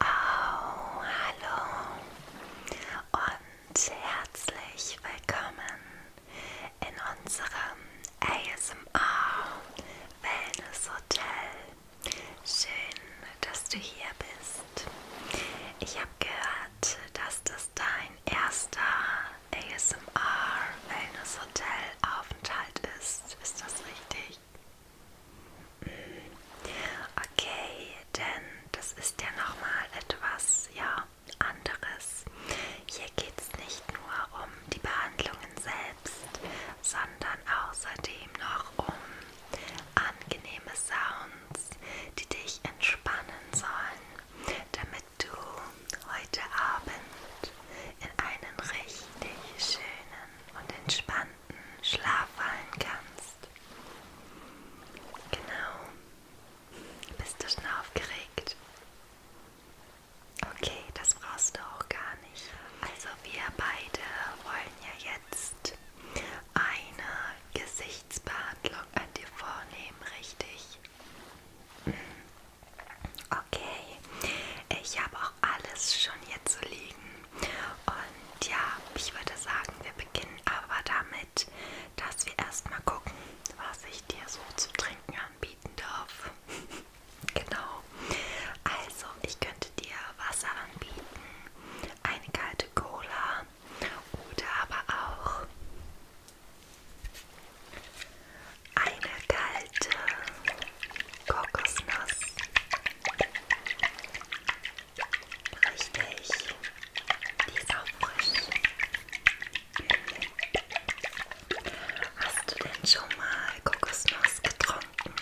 Oh, hallo und herzlich willkommen in unserem ASMR Wellness Hotel. Schön, dass du hier bist. Ich habe gehört, dass das dein erster ASMR Wellness Hotel Aufenthalt ist. Ist das richtig? Mm. Okay, denn das ist ja nochmal etwas, ja, anderes. Hier geht es nicht nur um die Behandlungen selbst, sondern außerdem noch um angenehme Sounds, die dich entspannen sollen, damit damit du heute Abend in einen richtig schönen und entspannten Schlaf fallen kannst. Genau. Bist du schon aufgeregt? Okay, das brauchst du auch gar nicht. Also wir beide wollen ja jetzt eine Gesichtsbehandlung an dir vornehmen, richtig? Okay, ich habe auch alles schon hier zu liegen. Und ja, ich würde sagen, wir beginnen aber damit, dass wir erstmal gucken, was ich dir so zu trinken anbieten darf. genau. Also, ich könnte dir Wasser anbieten, eine kalte Cola oder aber auch eine kalte Kokosnuss. Richtig. Die ist auch frisch. Hast du denn schon mal Kokosnuss getrunken?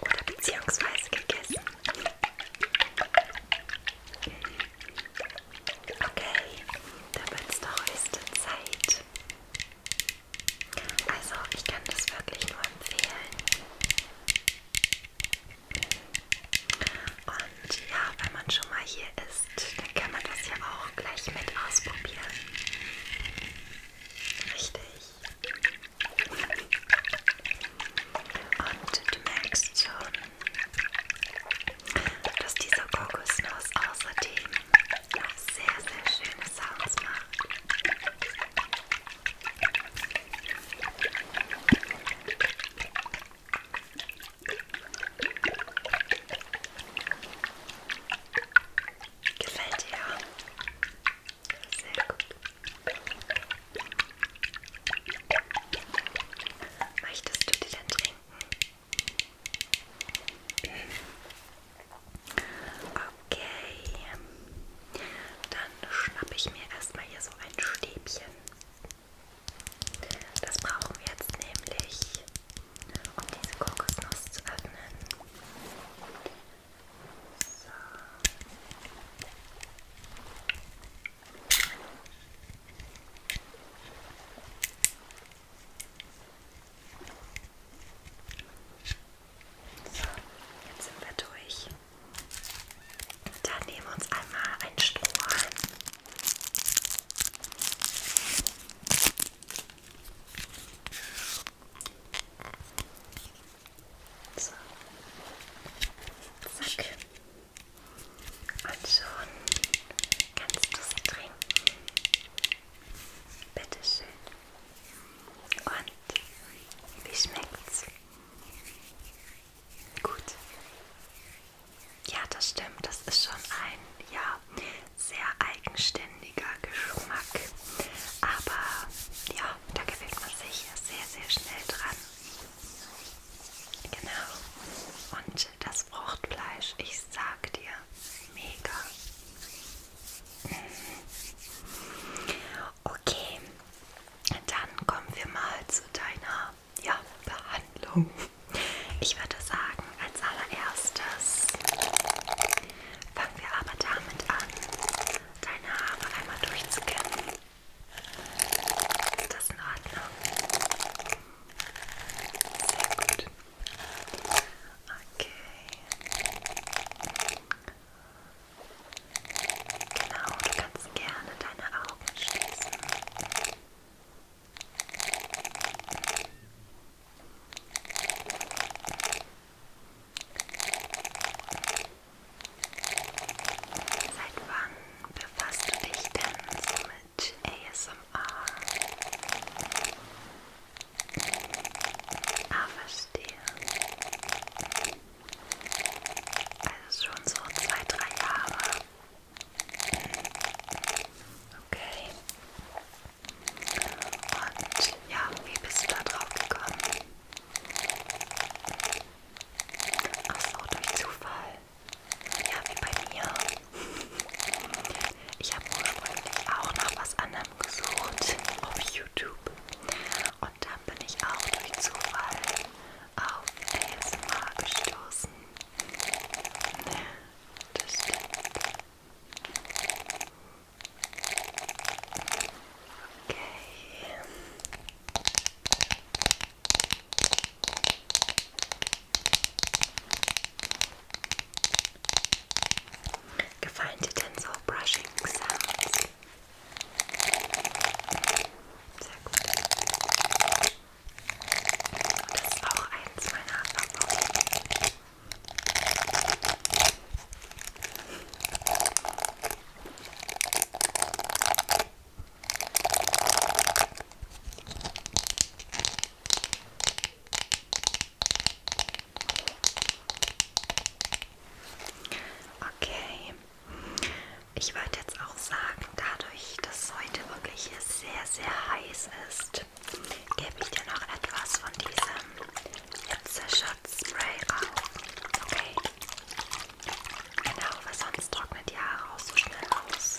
Oder beziehungsweise gegessen? Okay, dann wird es doch höchste Zeit. Also, ich kann das wirklich nur empfehlen. Und ja, wenn man schon mal hier ist, dann kann man das ja auch gleich mit ausprobieren. Richtig. Und du merkst schon, dass diese Kokosnuss außerdem noch sehr, sehr schöne Sounds macht. Gefällt dir? Sehr gut. Möchtest du die dann trinken? Okay, dann schnappe ich mir erstmal hier so ein Stäbchen. Das brauchen wir jetzt nämlich, um diese Kokosnuss zu öffnen. So. So, jetzt sind wir durch. Dann nehmen wir uns einmal einen Strohhalm. So. Zack. Und schon Kannst du sie trinken? Bitteschön. Und wie schmeckt's? Gut. Ja, das stimmt. Das ist schon ein ja, sehr eigenständiger Geschmack. Aber ja, da gewöhnt man sich sehr, sehr schnell dran. Genau. Und und das Fruchtfleisch, ich sag dir, mega. Mhm. Okay, dann kommen wir mal zu deiner ja, Behandlung. Ich würde sagen, als allererstes fangen wir aber damit an, deine Haare einmal durchzukämmen. Ist das in Ordnung? Sehr gut. Okay. Genau, du kannst gerne deine Augen schließen. Seit wann befasst du dich denn so Challenge ASMR. Ah, verstehe. Also schon so zwei, drei Jahre. Okay. Und ja, wie bist du da drauf gekommen? Ach so, durch Zufall. Ja, wie bei mir. Ich habe ursprünglich auch nach was anderem gesucht auf YouTube. Und dann bin ich auch durch Zufall auf ASMR gestoßen. Das stimmt. Okay. Gefallen dir Brushing-Sounds? Sehr gut. Das ist auch eins meiner Favoriten. Okay, ich würde jetzt auch sagen, dadurch, dass heute wirklich sehr, sehr heiß ist, gebe ich dir noch etwas von diesem Hitze-Schutzspray auf. Okay? Genau, weil sonst trocknet die Haare auch so schnell aus.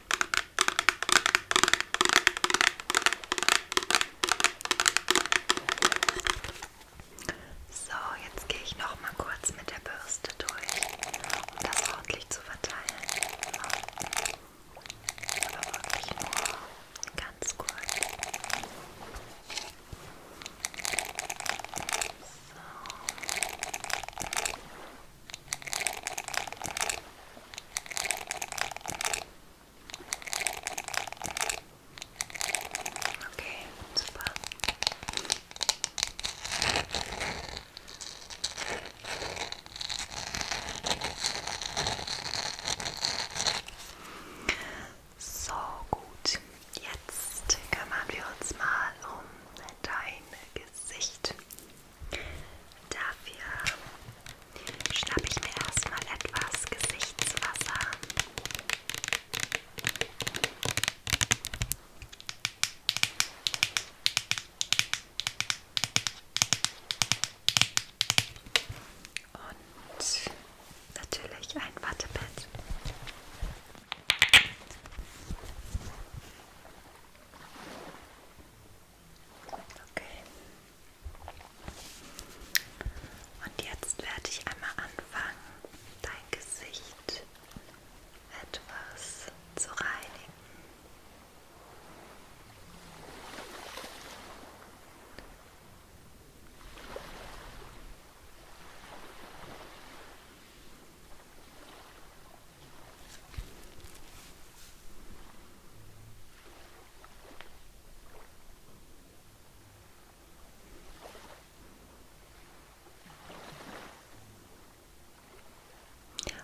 So, jetzt gehe ich noch mal kurz mit der Bürste durch, um das ordentlich zu verteilen. Aber wirklich nur ganz kurz. So. Okay, super. So gut, jetzt kümmern wir uns mal um dein Gesicht. Dafür schnappe ich mir erstmal etwas Gesichtswasser. Und natürlich ein Wattepad. Okay. Und jetzt werde ich einmal anfangen, dein Gesicht etwas zu reinigen. Okay.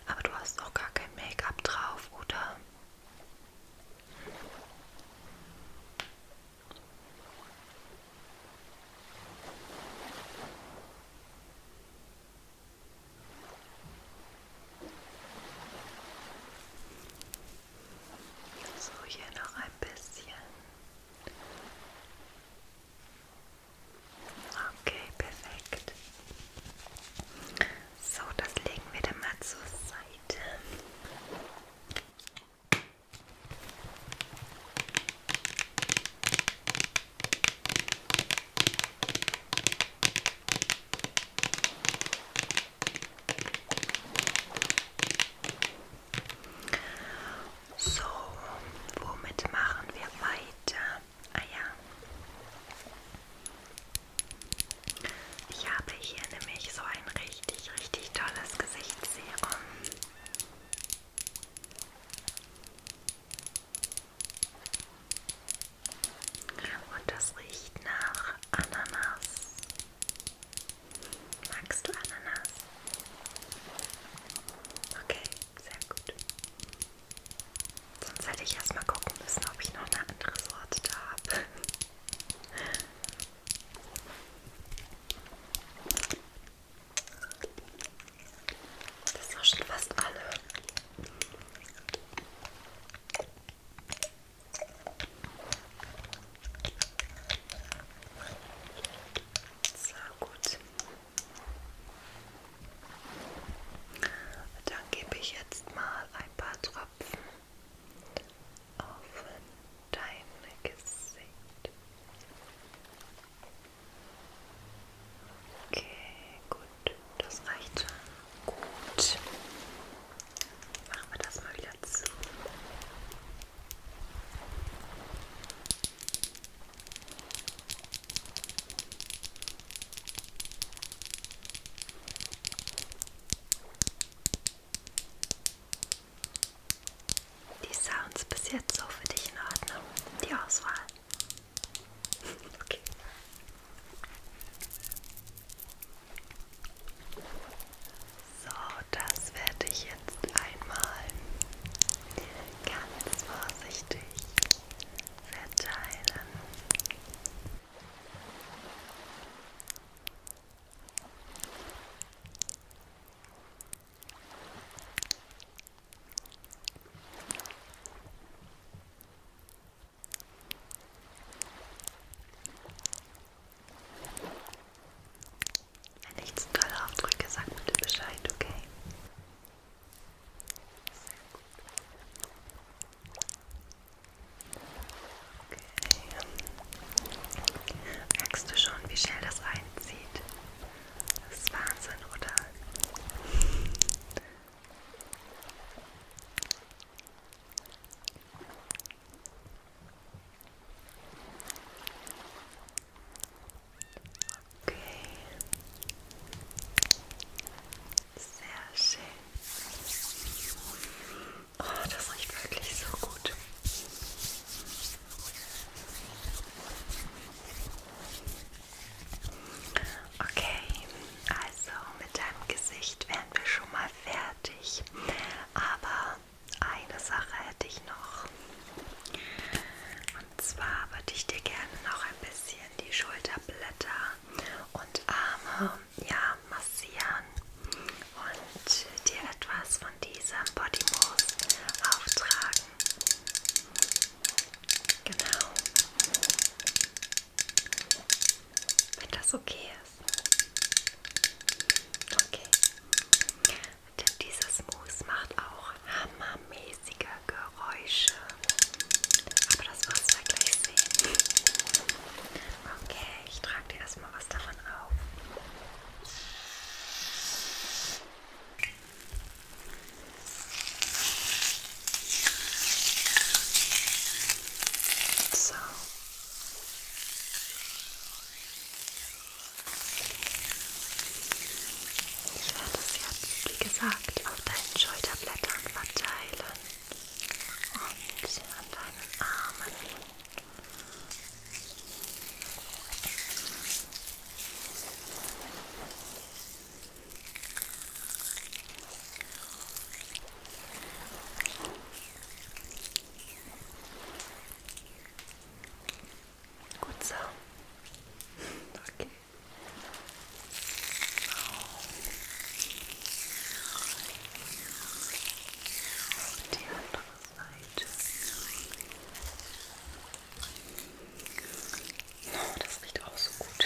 Aber du hast auch gar kein Make-up drauf, oder? So, hier noch ein bisschen. Okay, perfekt. So, das legen wir dann mal zur Seite. So, womit machen wir weiter? Ah ja. Ich habe hier nämlich so ein richtig, richtig tolles Gesichtsserum. Und das riecht nach Ananas. Magst du Ananas? Okay, sehr gut. Sonst hätte ich erstmal gucken müssen, ob ich noch eine andere Sorte da habe. Das ist auch schon fast alle. So gut. Dann gebe ich jetzt mal ein paar Tropfen auf dein Gesicht. Okay, gut das reicht schon. Gut. Machen wir das mal wieder zu. Die Sounds bis jetzt so für dich in Ordnung, die Auswahl. Okay. So, das werde ich jetzt einmal ganz vorsichtig verteilen. So. Wenn ich zu doll aufdrücke, sag bitte Bescheid, okay? Sehr gut. Okay. Merkst du schon, wie schnell das einzieht? Das ist Wahnsinn, oder? Okay. Sehr schön. Oh, das riecht wirklich so gut. Okay, also mit deinem Gesicht wären wir schon mal fertig. Aber eine Sache hätte ich noch. Und zwar würde ich dir gerne noch ein bisschen die Schulterblätter und Arme ja, massieren und dir etwas von diesem Body Mousse auftragen. Genau. Wenn das okay ist. Okay. Denn dieses Mousse macht auch hammermäßige Geräusche. Aber das wirst du ja gleich sehen. Okay, ich trage dir erstmal was davon auf. So. Ich werde es jetzt, wie gesagt, auf deinen Schulterblättern verteilen und an deinen Armen. Gut so. Okay. Auf die andere Seite. Oh, das riecht auch so gut.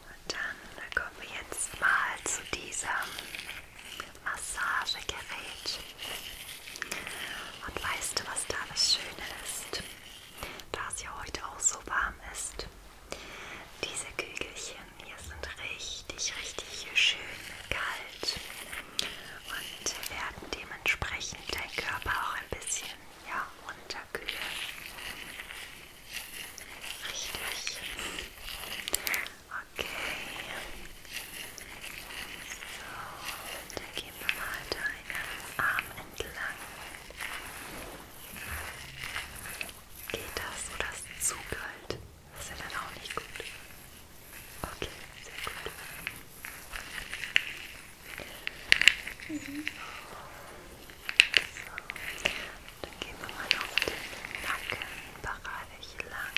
Und dann kommen wir jetzt mal zu diesem Massagegerät. Und weißt du, was da das Schöne ist? Da es ja heute auch so warm ist. Diese Kügelchen hier sind richtig, richtig schön kalt und werden dementsprechend dein Körper auch ein bisschen ja, runterkühlen. Richtig. Okay. So, dann gehen wir mal deinen Arm entlang. Geht das oder ist es zu kalt? Das ist ja dann auch nicht gut. Okay, sehr gut. Mhm. So. Dann gehen wir mal auf den Nackenbereich lang.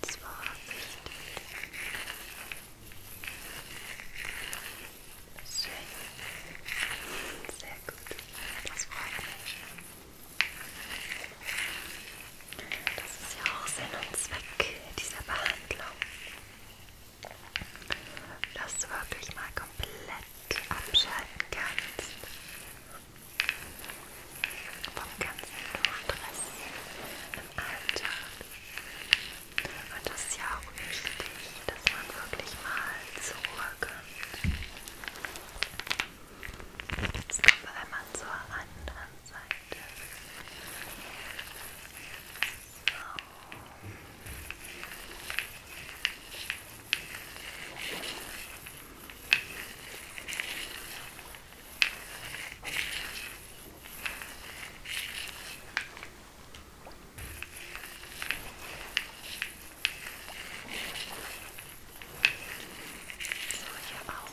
Ganz vorsichtig. Schön. Sehr gut. Das freut mich. Das ist ja auch Sinn und Zweck dieser Behandlung dass du wirklich mal komplett abschalten kannst vom ganzen Stress im Alltag. Und das ist ja auch wichtig, dass man wirklich mal zur Ruhe kommt. Jetzt kommen wir einmal zur anderen Seite. So, hier auch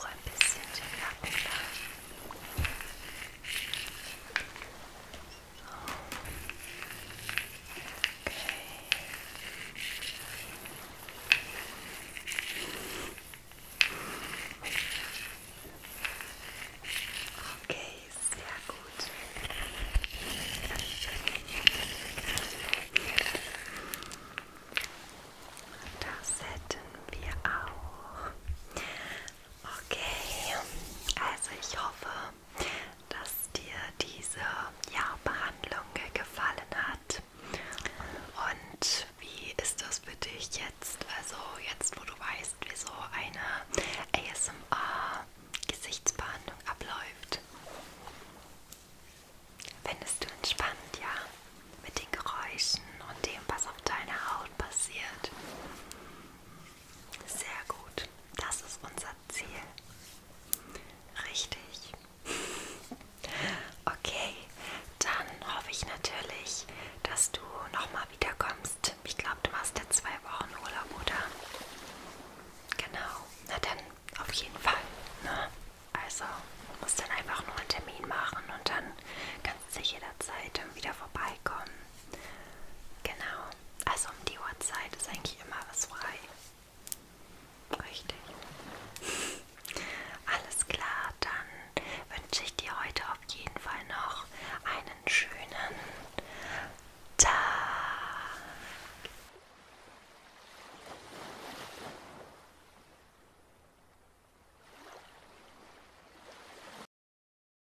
ein bisschen den Nacken lang. Okay, sehr gut. Das hätten wir auch. Okay, also ich hoffe, dass dir diese ja, Behandlung gefallen hat. Und wie ist das für dich jetzt? Also jetzt, wo du weißt, wie so eine ASMR-Gesichtsbehandlung abläuft. Findest du entspannt, ja? Mit den Geräuschen und dem, was auf deiner Haut passiert. Sehr gut. Das ist unser Ziel. Richtig. Okay, dann hoffe ich natürlich, dass du nochmal wiederkommst. Ich glaube, du machst ja zwei Wochen Urlaub, oder? Genau. Na dann, auf jeden Fall. Ne? Also, musst dann einfach nur einen Termin machen und dann kannst du jederzeit wieder vorbeikommen. Genau. Also um die Uhrzeit ist eigentlich immer was frei. Richtig. Alles klar, dann wünsche ich dir heute auf jeden Fall noch einen schönen Tag.